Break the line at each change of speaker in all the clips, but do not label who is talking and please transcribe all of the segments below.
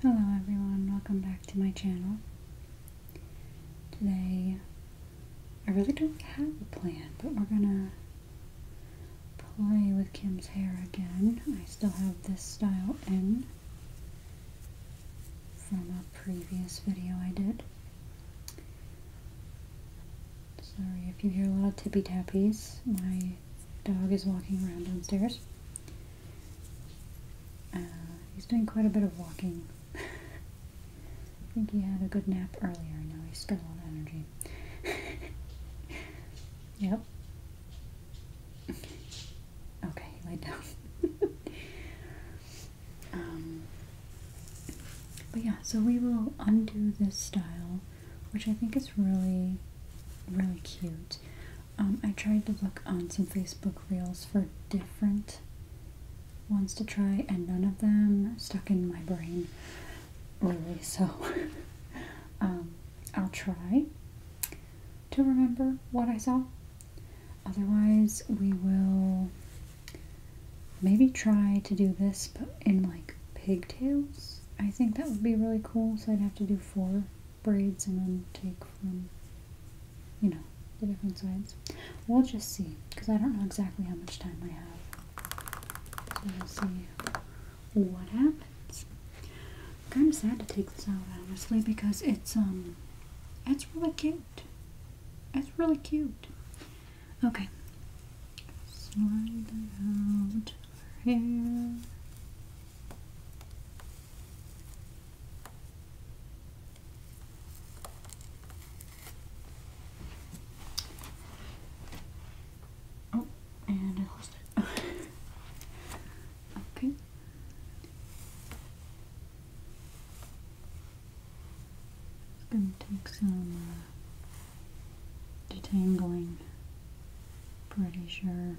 Hello everyone, welcome back to my channel. Today, I really don't have a plan, but we're gonna play with Kim's hair again. I still have this style in from a previous video I did. Sorry if you hear a lot of tippy tappies. My dog is walking around downstairs. Uh, he's doing quite a bit of walking. I think he had a good nap earlier. Now he's spent all on energy. yep. Okay, he laid down. um, but yeah, so we will undo this style, which I think is really, really cute. Um, I tried to look on some Facebook reels for different ones to try, and none of them stuck in my brain, really. So um, I'll try to remember what I saw. Otherwise, we will Maybe try to do this in like pigtails. I think that would be really cool. So I'd have to do four braids and then take from, you know, the different sides. We'll just see because I don't know exactly how much time I have. So we'll see what happens. kind of sad to take this out honestly because it's um, it's really cute. It's really cute. Okay. Oh, and I lost it. okay. It's Gonna take some uh, detangling, pretty sure.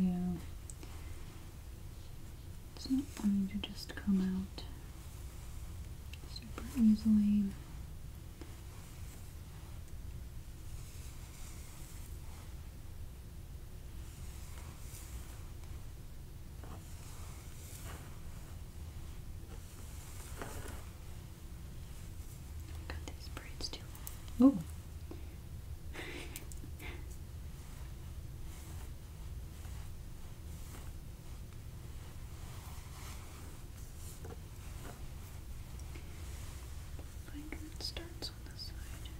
Yeah, it's not going to just come out super easily. Got these braids too long. Finger starts on the side.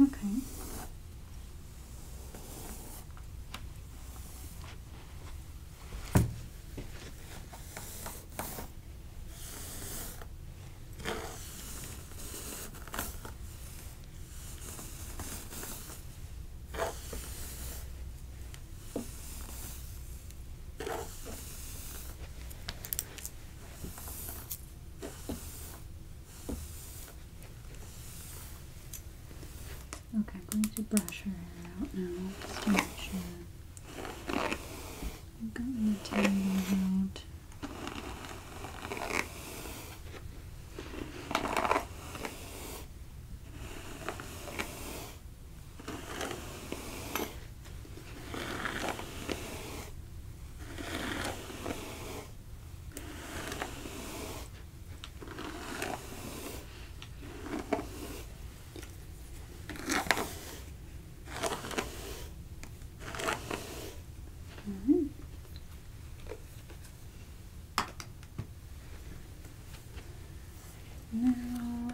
Okay. Okay, I'm going to brush her hair out now just to make sure I've got material out. Mm -hmm. Now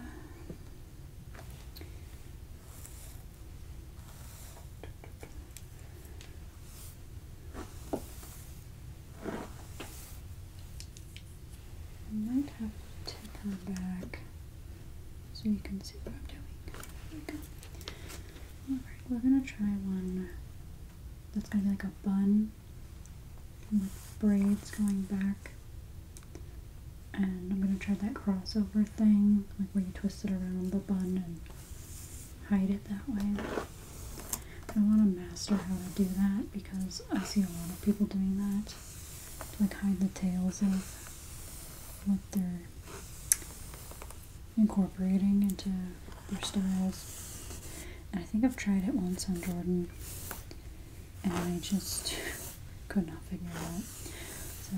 I might have to come back so you can see what I'm doing. Alright, we're gonna try one that's gonna be like a bun with braids going back. And I'm gonna try that crossover thing, like where you twist it around the bun and hide it that way. I want to master how to do that because I see a lot of people doing that like hide the tails of what they're incorporating into their styles. And I think I've tried it once on Jordan and I just could not figure it out. So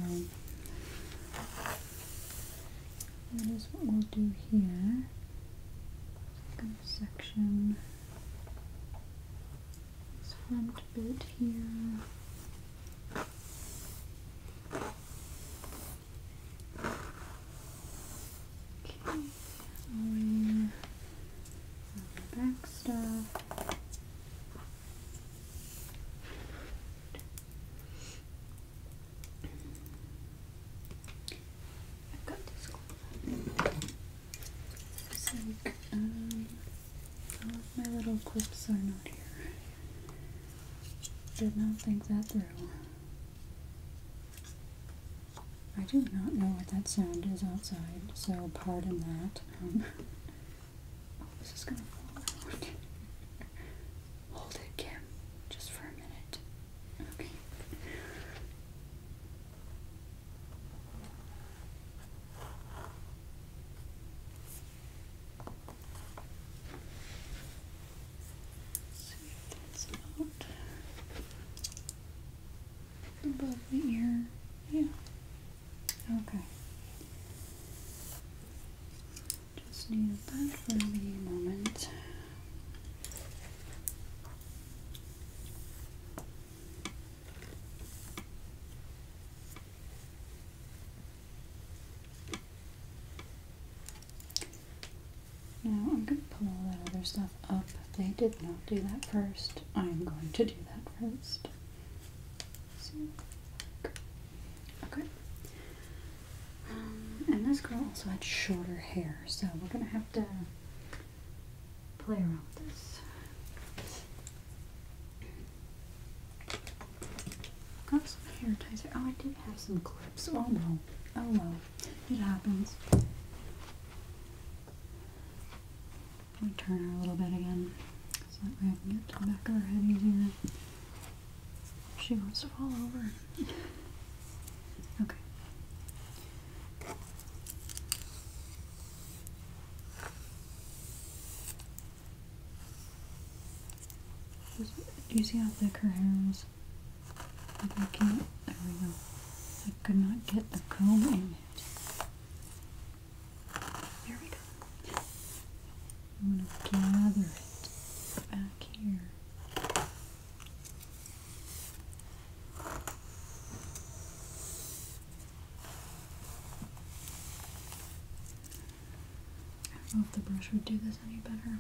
that is what we'll do here. Second section this front bit here. Okay, and um, back stuff. I've got this so, um, all oh, of my little clips are not here. Did not think that through. I do not know what that sound is outside, so pardon that. Um, oh, this is gonna fall Hold it, Kim, just for a minute. Okay. Sweep this out above the ear. Yeah. Okay. Just need that for the moment. Okay. Now I'm going to pull all that other stuff up. They did not do that first. I'm going to do that first. Okay. Um, and this girl also had shorter hair, so we're going to have to play around with this. got some hair ties here. Oh, I did have some clips. Oh no! Oh no! It happens. We turn her a little bit again so that way I can get to the back of her head easier. She wants to fall over. okay. Do you see how thick her hair is? I can't, there we go. I could not get the comb in it. we go. I'm gonna gather it back here. I don't know if the brush would do this any better.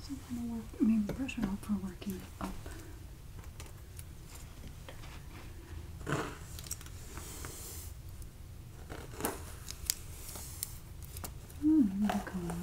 Some kind of work, maybe the brush would help for working it up. Oh,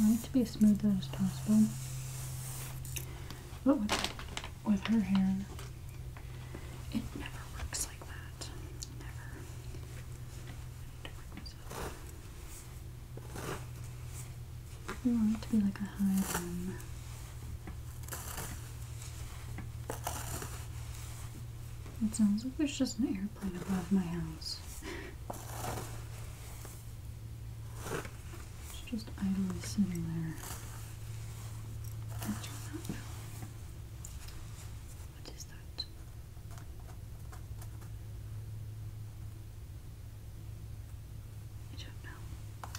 I want it to be as smooth as possible. But with, her hair, it never works like that. Never. I want it to be like a high bun. It sounds like there's just an airplane above my house. It's just idly sitting there. I do not know. What is that? I don't know.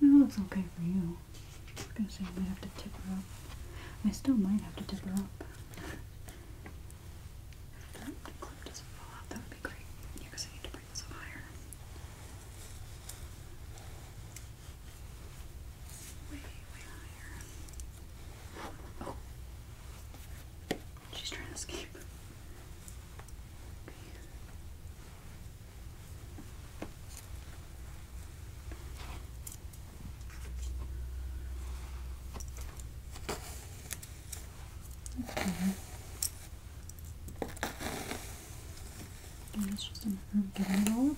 It looks okay for you. I am gonna say I might have to tip her up. I still might have to tip her up. If that clip doesn't fall out, that would be great. Yeah, I need to bring this up higher. Way, way higher. Oh! She's trying to escape. Okay. And it's just a matter of getting it all up.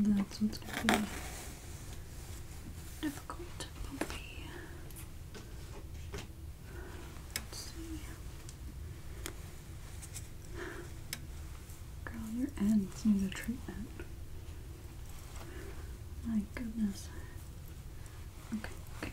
That's what's going to be difficult, bumpy. Girl, your ends need a treatment. My goodness. Okay, okay.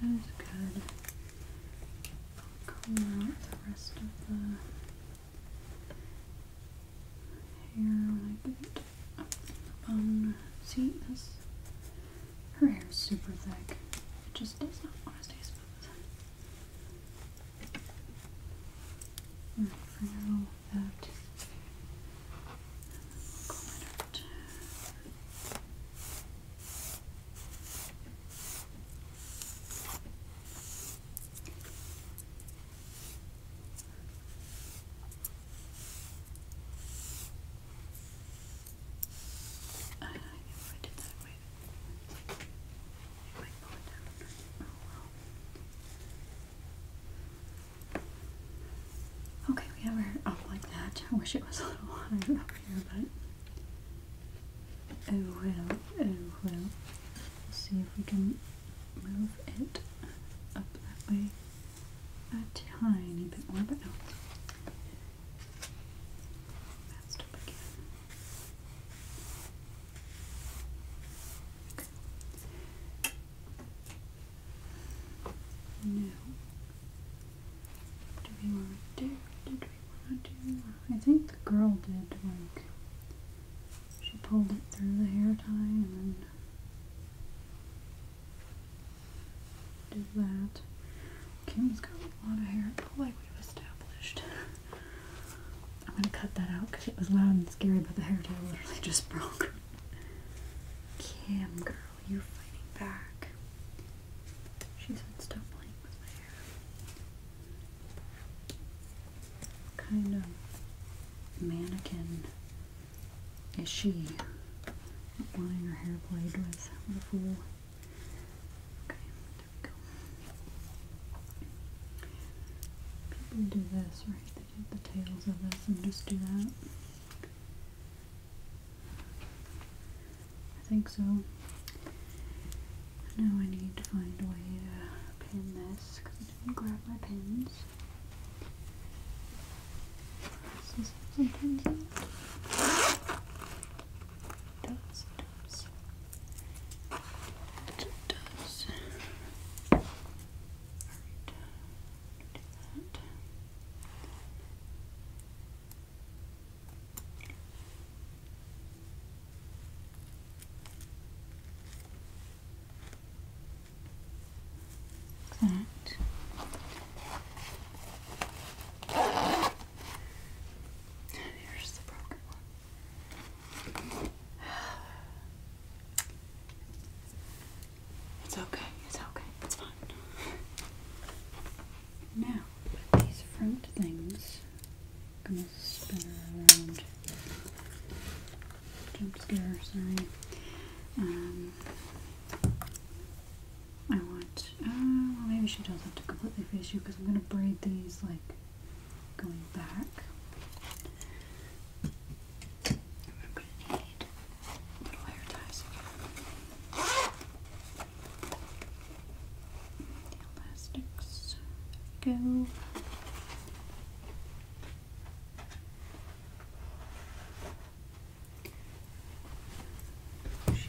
That is good. I'll comb out the rest of the hair when I get up the bone. See, this, her hair is super thick. It just does not want to stay smooth. We'll figure all that. Comment. Okay. Uh, okay, we have her up like that. I wish it was a little higher up here, but oh well, oh well. Let's see if we can move it up that way a tiny bit more, but no. No. Do we want to do? Did we want to do? I think the girl did. Like she pulled it through the hair tie and then did that. Kim's got a lot of hair, like we've established. I'm gonna cut that out because it was loud and scary, but the hairtail literally just broke. Kim, girl, you're fighting back. She said, "Stop playing with my hair." Kind of mannequin is she? Wanting her hair played with. What a fool. People do this, right? They do the tails of this and just do that. I think so. Now I need to find a way to pin this because I didn't grab my pins. Is this some pins does, does, does, That here's the broken one. It's okay, it's okay, it's fine. Now, with these front things, I'm gonna spin around. Jump scare, sorry. Um, I want want. Uh, well, maybe she does not have to completely face you because I'm going to braid these like going back. I'm going to need little hair ties elastics go. She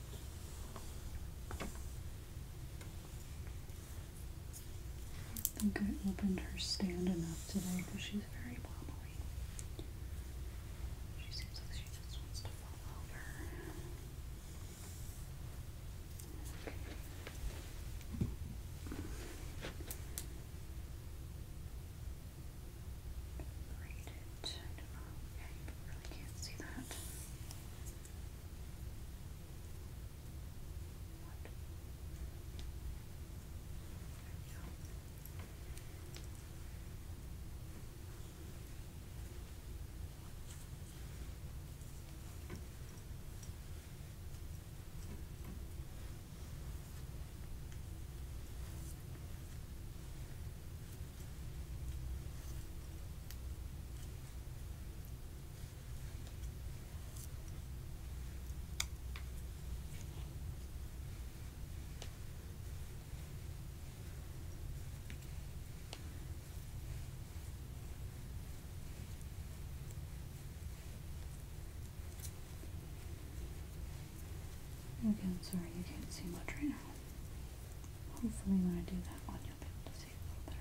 I think I opened her stand enough today because she's very wobbly. She seems like she just wants to fall over. Right, I Yeah, you really can't see that. What? There we go. Again, sorry you can't see much right now. Hopefully when I do that one you'll be able to see it a little better.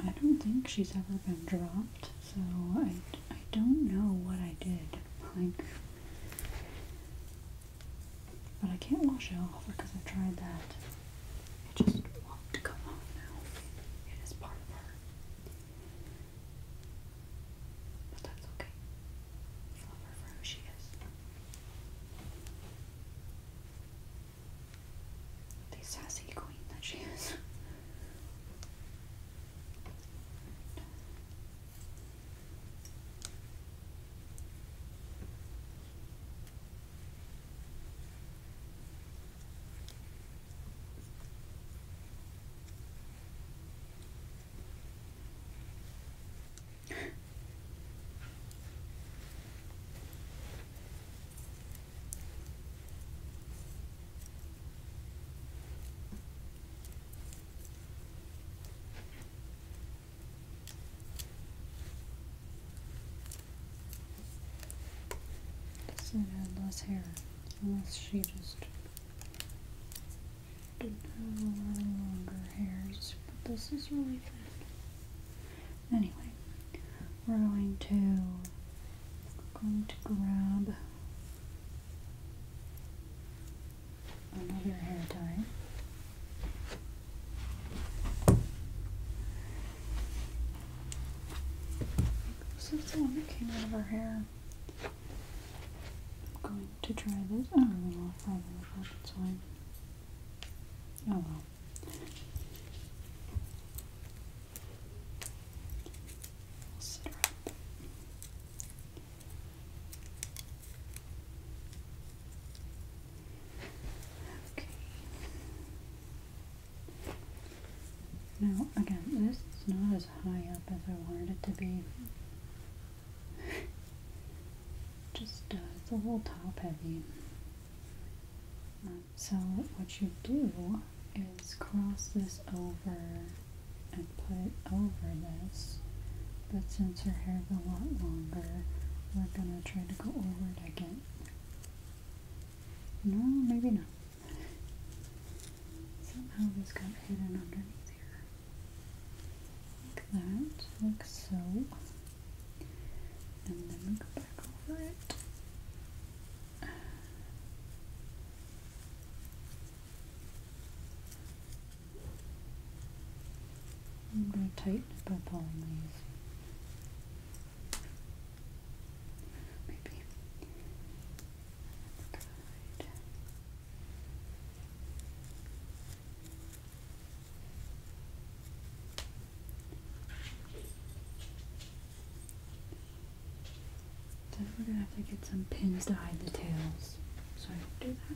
I don't think she's ever been dropped, so I, I don't know what I did. but I can't wash it off because I tried that. It just won't come off now. It is part of her. But that's okay. Love her for who she is. The sassy queen that she is. So had less hair, unless she just didn't have longer hairs, but this is really thin. Anyway, we're going to going to grab another hair tie. This is the one that came out of our hair. I'm going to try this. Oh well. Okay. Now, again, this is not as high up as I wanted it to be. Just, uh, a little top heavy. So what you do is cross this over and put it over this, but since her is a lot longer, we're gonna try to go over it again. No, maybe not. Somehow this got hidden underneath here. Like that, like so and then we go back over it. I'm going to tighten it by pulling these. Maybe. Then we're gonna have to get some pins to hide the tails. So I do that.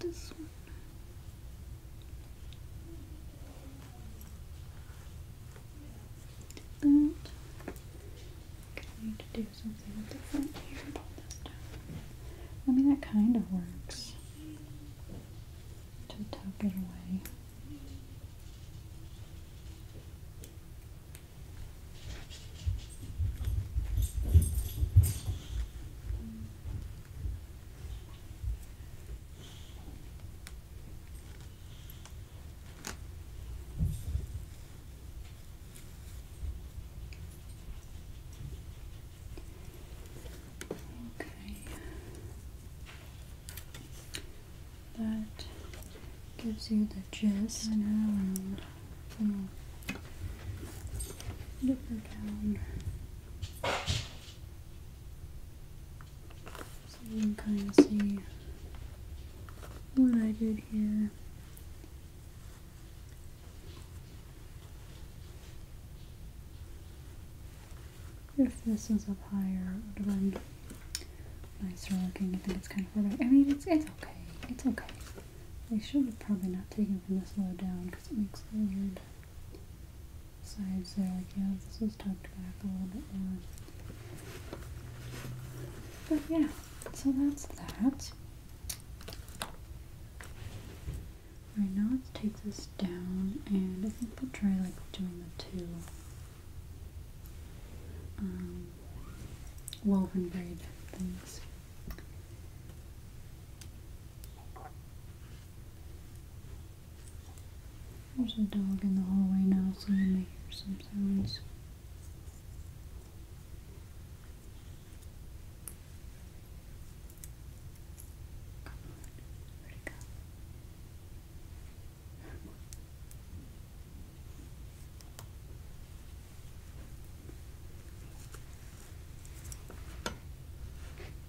This one that. i do something different here about this I mean, that kind of works to tuck it away. Okay. That gives you the gist and around from dipper down. So you can kind of see what I did here. If this was up higher, it would have been nicer looking. I think it's kind of hard. I mean, it's, it's okay. It's okay. They should have probably not taken from this low down because it makes a weird sides there. Yeah, this was tucked back a little bit more. But yeah, so that's that. Right now let's take this down and I think we'll try like doing the two um, woven braid things. There's a dog in the hallway now, so you may hear some sounds.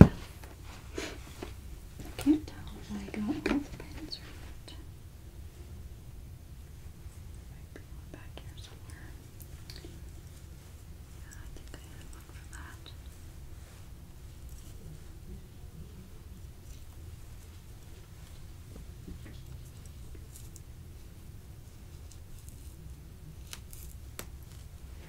I can't tell if I got all the pins or one back here somewhere. Yeah, I think I had one for that.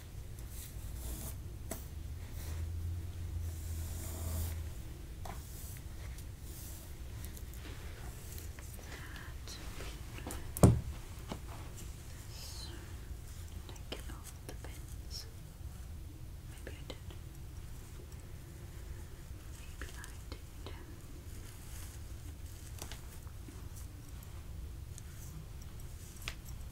This, taking off the pins. Maybe I did. Maybe I did. Okay.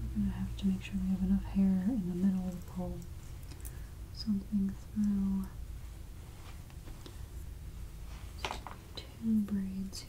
We're going to have to make sure we have enough hair in the middle to pull something through. two braids here.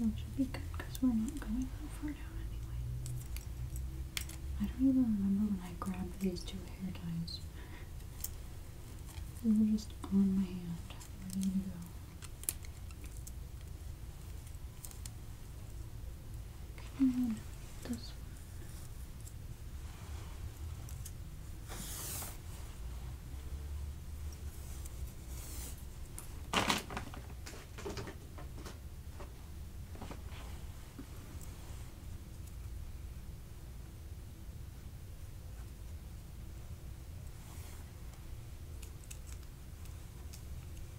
That should be good because we're not going that far down anyway. I don't even remember when I grabbed these two hair ties. They were just on my hand, ready to go. Okay, this one.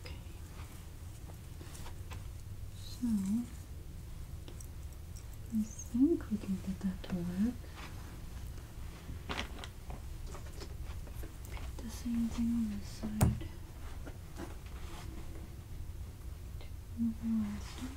Okay. So I think we can get that to work. The same thing on this side. Two elastics. There.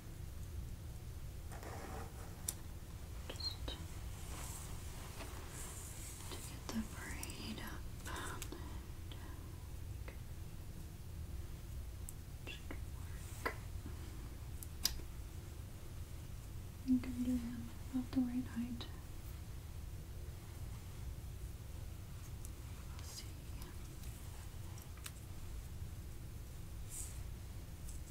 Just to get the braid up I think I do have about the right height. We'll see.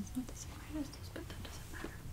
It's not the same as this, but that doesn't matter.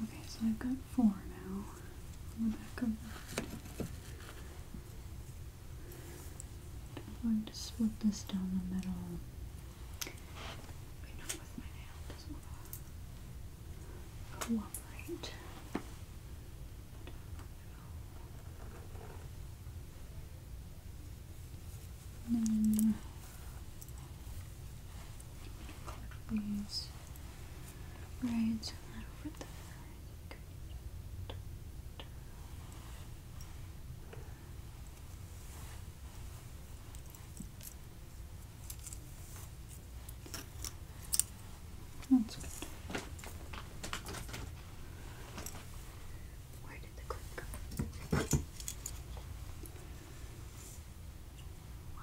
Okay, so I've got four now on the back of that. I'm going to split this down the middle. I know with my nail these right and over there. That's good. Where did the clip go? Wow.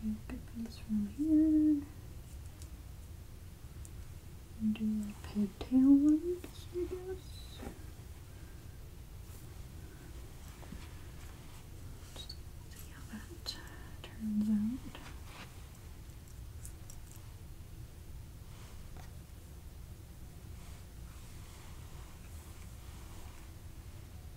Take a from here. And do a pigtail ones, I guess. Just see how that turns out.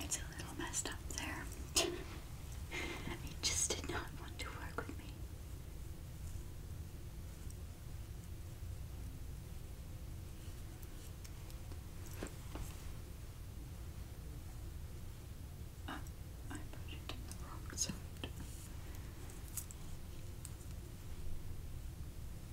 It's a little messed up there. it just did not want to work with me. I put it the wrong side.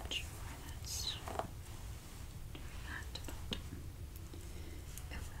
Not sure why that's doing that, but it will. Okay.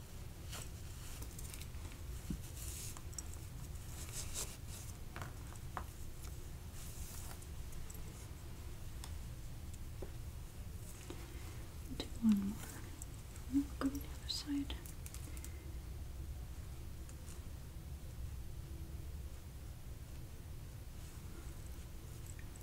Do one more. We'll oh, go to the other side.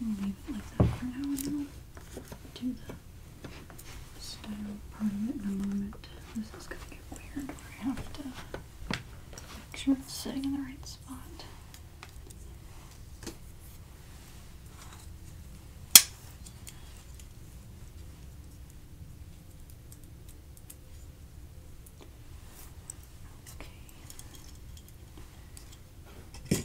We'll leave it like that for now and we'll do the style part of it in a moment. This is gonna get weird. We have to Make sure it's sitting in the right spot. Okay.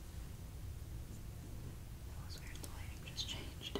That was weird, the lighting just changed.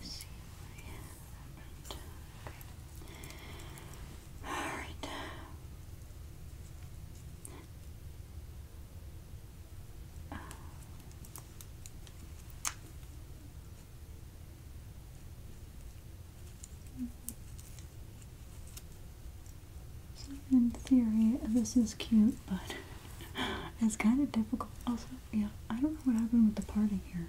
see if we have okay. All right. Um, so in theory, this is cute, but it's kind of difficult. Also, yeah, I don't know what happened with the party here.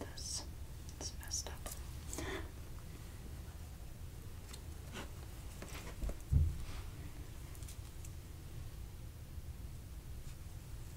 This is messed up.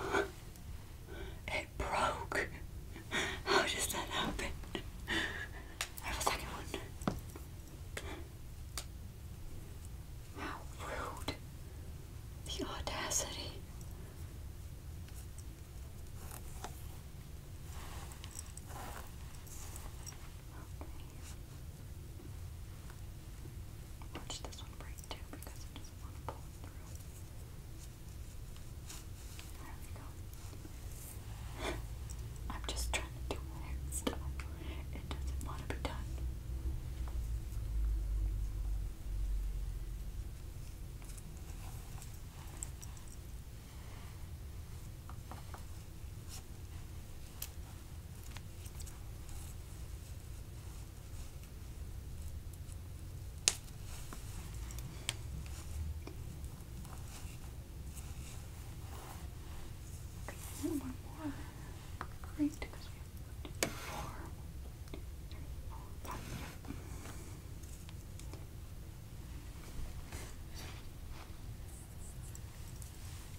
It broke. How does that happen? I have second one. How rude. The audacity. Watch this one break too because it doesn't want to pull through. There we go. I'm just trying to do my hairstyle. It doesn't want to be done. One more. Great, because we have one, two, four, one, two, three, four, five.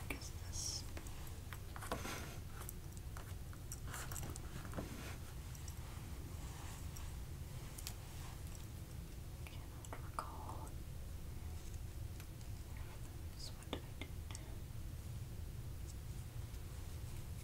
What is this? Cannot recall. what did I do?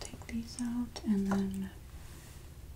Take these out and then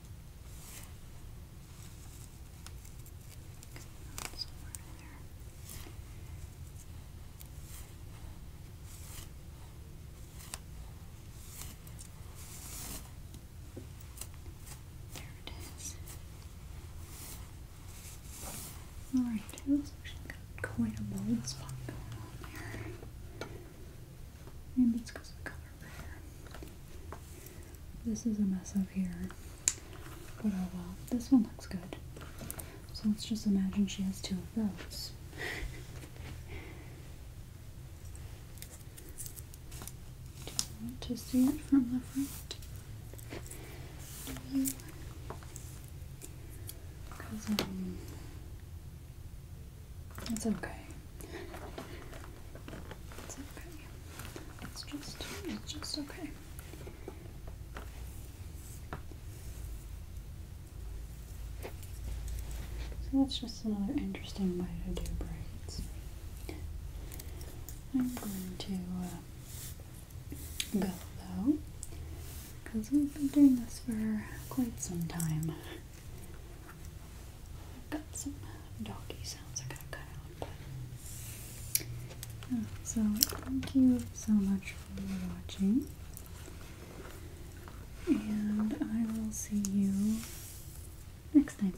there. it is. Alright, I actually got quite a bold spot going on there. Maybe it's because of the color over This is a mess up here. But oh well, this one looks good. So let's just imagine she has two of those. Do you want to see it from the front? Because, um, it's okay. It's okay. It's just, it's just okay. So that's just another interesting way to do braids. I'm going to uh, go though, because we've been doing this for quite some time got some doggy sounds I got cut out, so thank you so much for watching. And I will see you next time.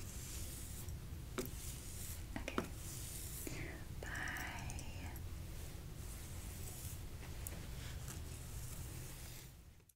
Okay. Bye.